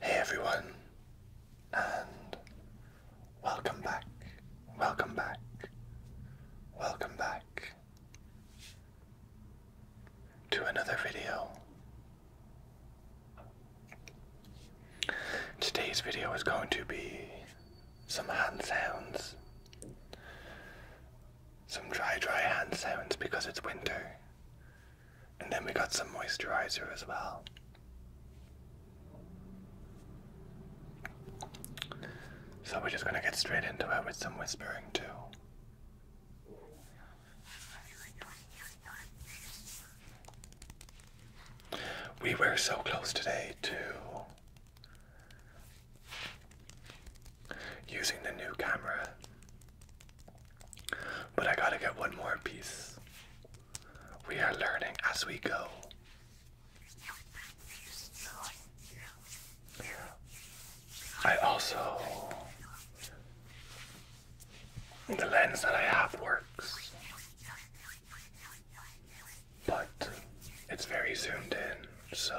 Hey everyone, and welcome back, welcome back, welcome back to another video. Today's video is going to be some hand sounds some dry, dry hand sounds because it's winter. And then we got some moisturizer as well. So we're just gonna get straight into it with some whispering too. We were so close today too using the new camera. But I gotta get one more piece. We are learning as we go. I also. The lens that I have works. But it's very zoomed in, so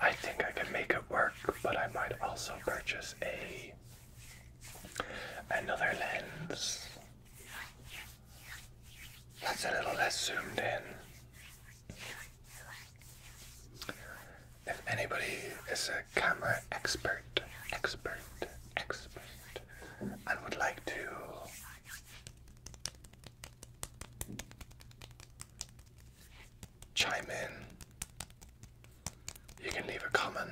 I think I can make it work, but I might also purchase a another lens that's a little less zoomed in. If anybody is a camera expert, expert, expert, I would like to chime in. You can leave a comment.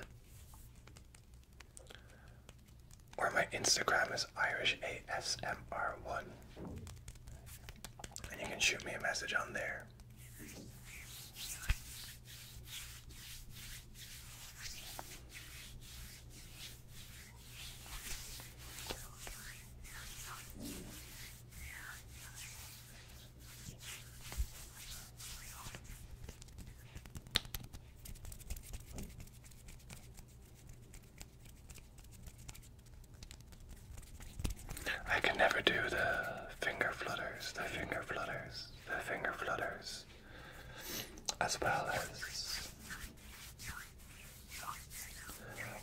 Or my Instagram is Irish ASMR one And you can shoot me a message on there. I can never do the finger flutters, the finger flutters, the finger flutters, as well as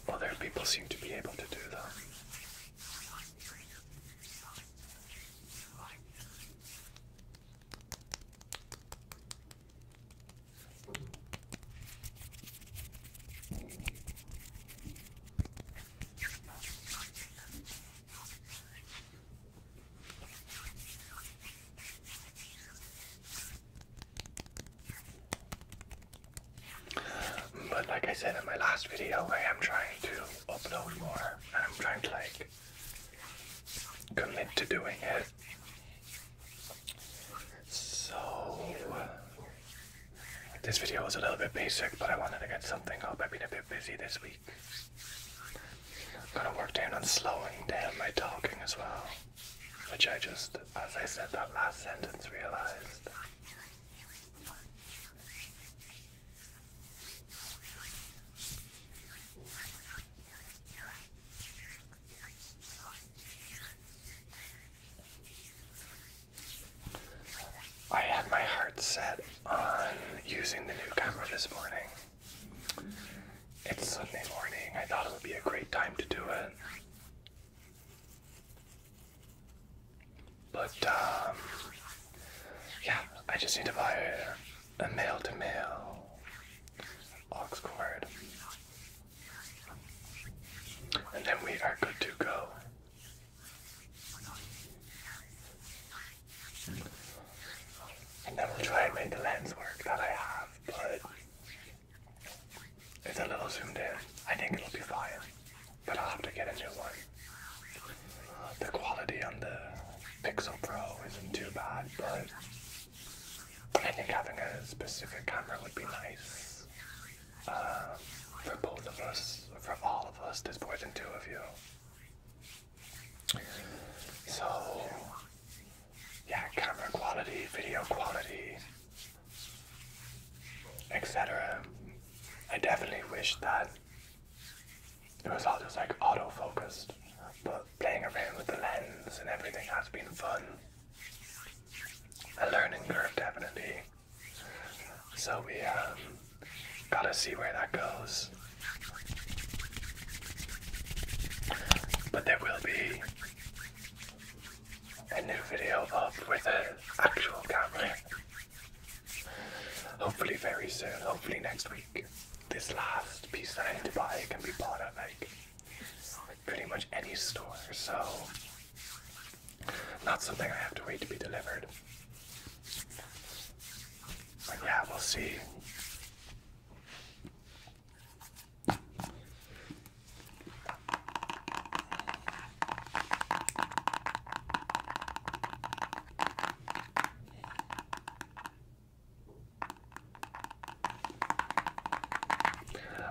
other people seem to be able to do that. But like I said in my last video, I am trying to upload more and I'm trying to like commit to doing it. So this video was a little bit basic, but I wanted to get something up. I've been a bit busy this week. I'm gonna work down on slowing down my talking as well. Which I just, as I said that last sentence, realized. I had my heart set on using the new camera this morning. It's Sunday morning. I thought it would be a great time to do it. But um, yeah, I just need to buy a male-to-male aux cord, and then we are good to go. And then we'll try and make the lens work that I have, but it's a little zoomed in. I think it'll be fine, but I'll have to get a new one. Uh, the quality on the Pixel Pro isn't too bad, but I think having a specific camera would be nice um, for both of us, for all of us. There's more than two of you. So yeah, camera quality, video quality, etc. I definitely wish that it was all just like auto focused, but playing around with the lens and everything has been fun. A learning curve, definitely. So we um, gotta see where that goes. But there will be a new video up with an actual camera. Hopefully very soon, hopefully next week. This last piece that I need to buy can be bought at like pretty much any store, so not something I have to wait to be delivered. But yeah, we'll see.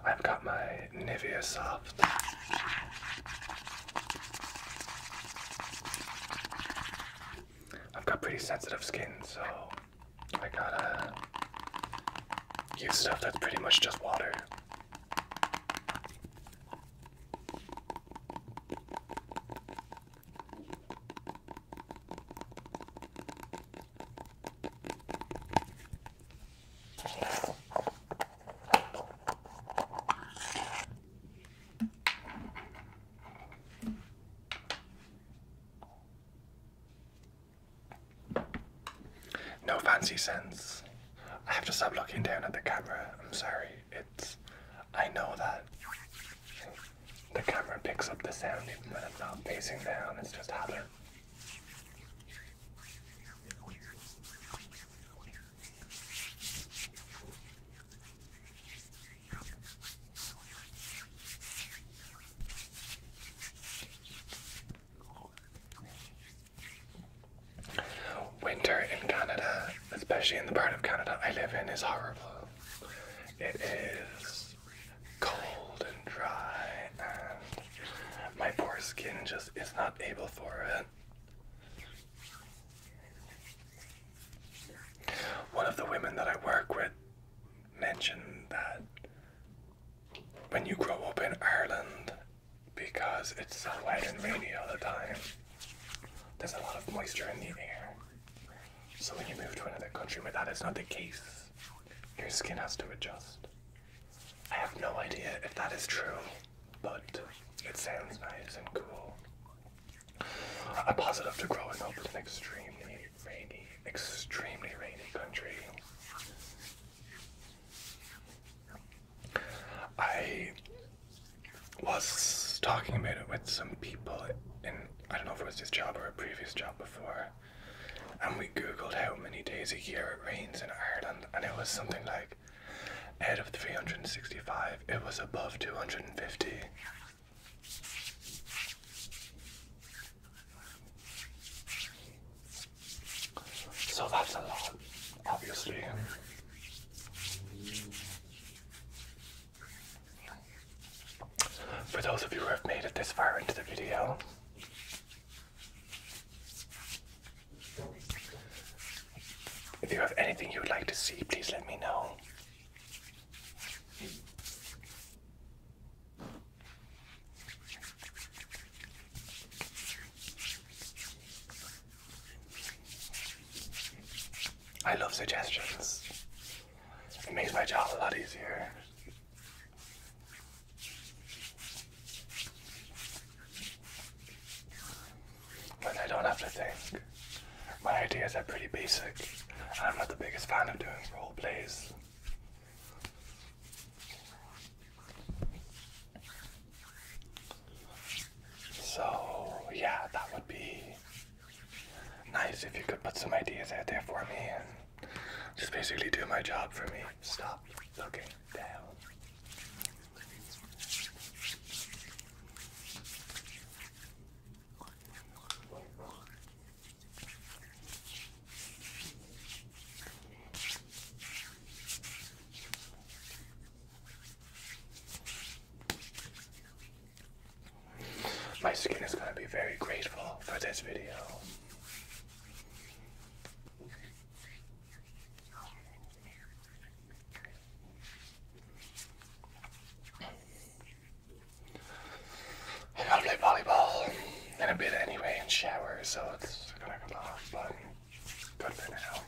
I've got my Nivea Soft. I've got pretty sensitive skin, so I got a. use stuff that's pretty much just water. No fancy sense. I have to stop looking down at the camera. I'm sorry. It's. I know that the camera picks up the sound even when I'm not facing down. It's just other. Winter in Canada, especially in the part of Canada I live in, is horrible. It is cold and dry, and my poor skin just is not able for it. One of the women that I work with mentioned that when you grow up in Ireland, because it's so wet and rainy all the time, there's a lot of moisture in the air. So when you move to another country where that is not the case, your skin has to adjust. I have no idea if that is true, but it sounds nice and cool. A positive to growing up in an extremely rainy, extremely rainy country. I was talking about it with some people in, I don't know if it was this job or a previous job before, and we googled how many days a year it rains in Ireland, and it was something like out of 365, it was above 250. So that's a lot, obviously. For those of you who have made it this far into the video, if you have anything you would like to see, please let me know. I love suggestions. It makes my job a lot easier. But I don't have to think. My ideas are pretty basic, and I'm not the biggest fan of doing role plays. So, yeah, that would be nice if you could put some ideas out there for me and just basically do my job for me. Stop looking down. My skin is going to be very grateful for this video. I'm to play volleyball in a bit anyway and shower, so it's gonna be long, but good for now.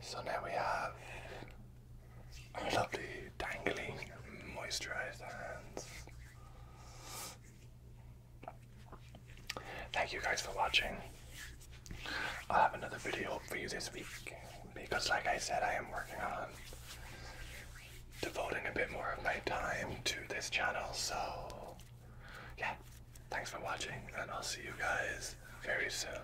So now we have Lovely, love moisturized hands. Thank you guys for watching. I'll have another video for you this week because, like I said, I am working on devoting a bit more of my time to this channel. So, yeah, thanks for watching, and I'll see you guys very soon.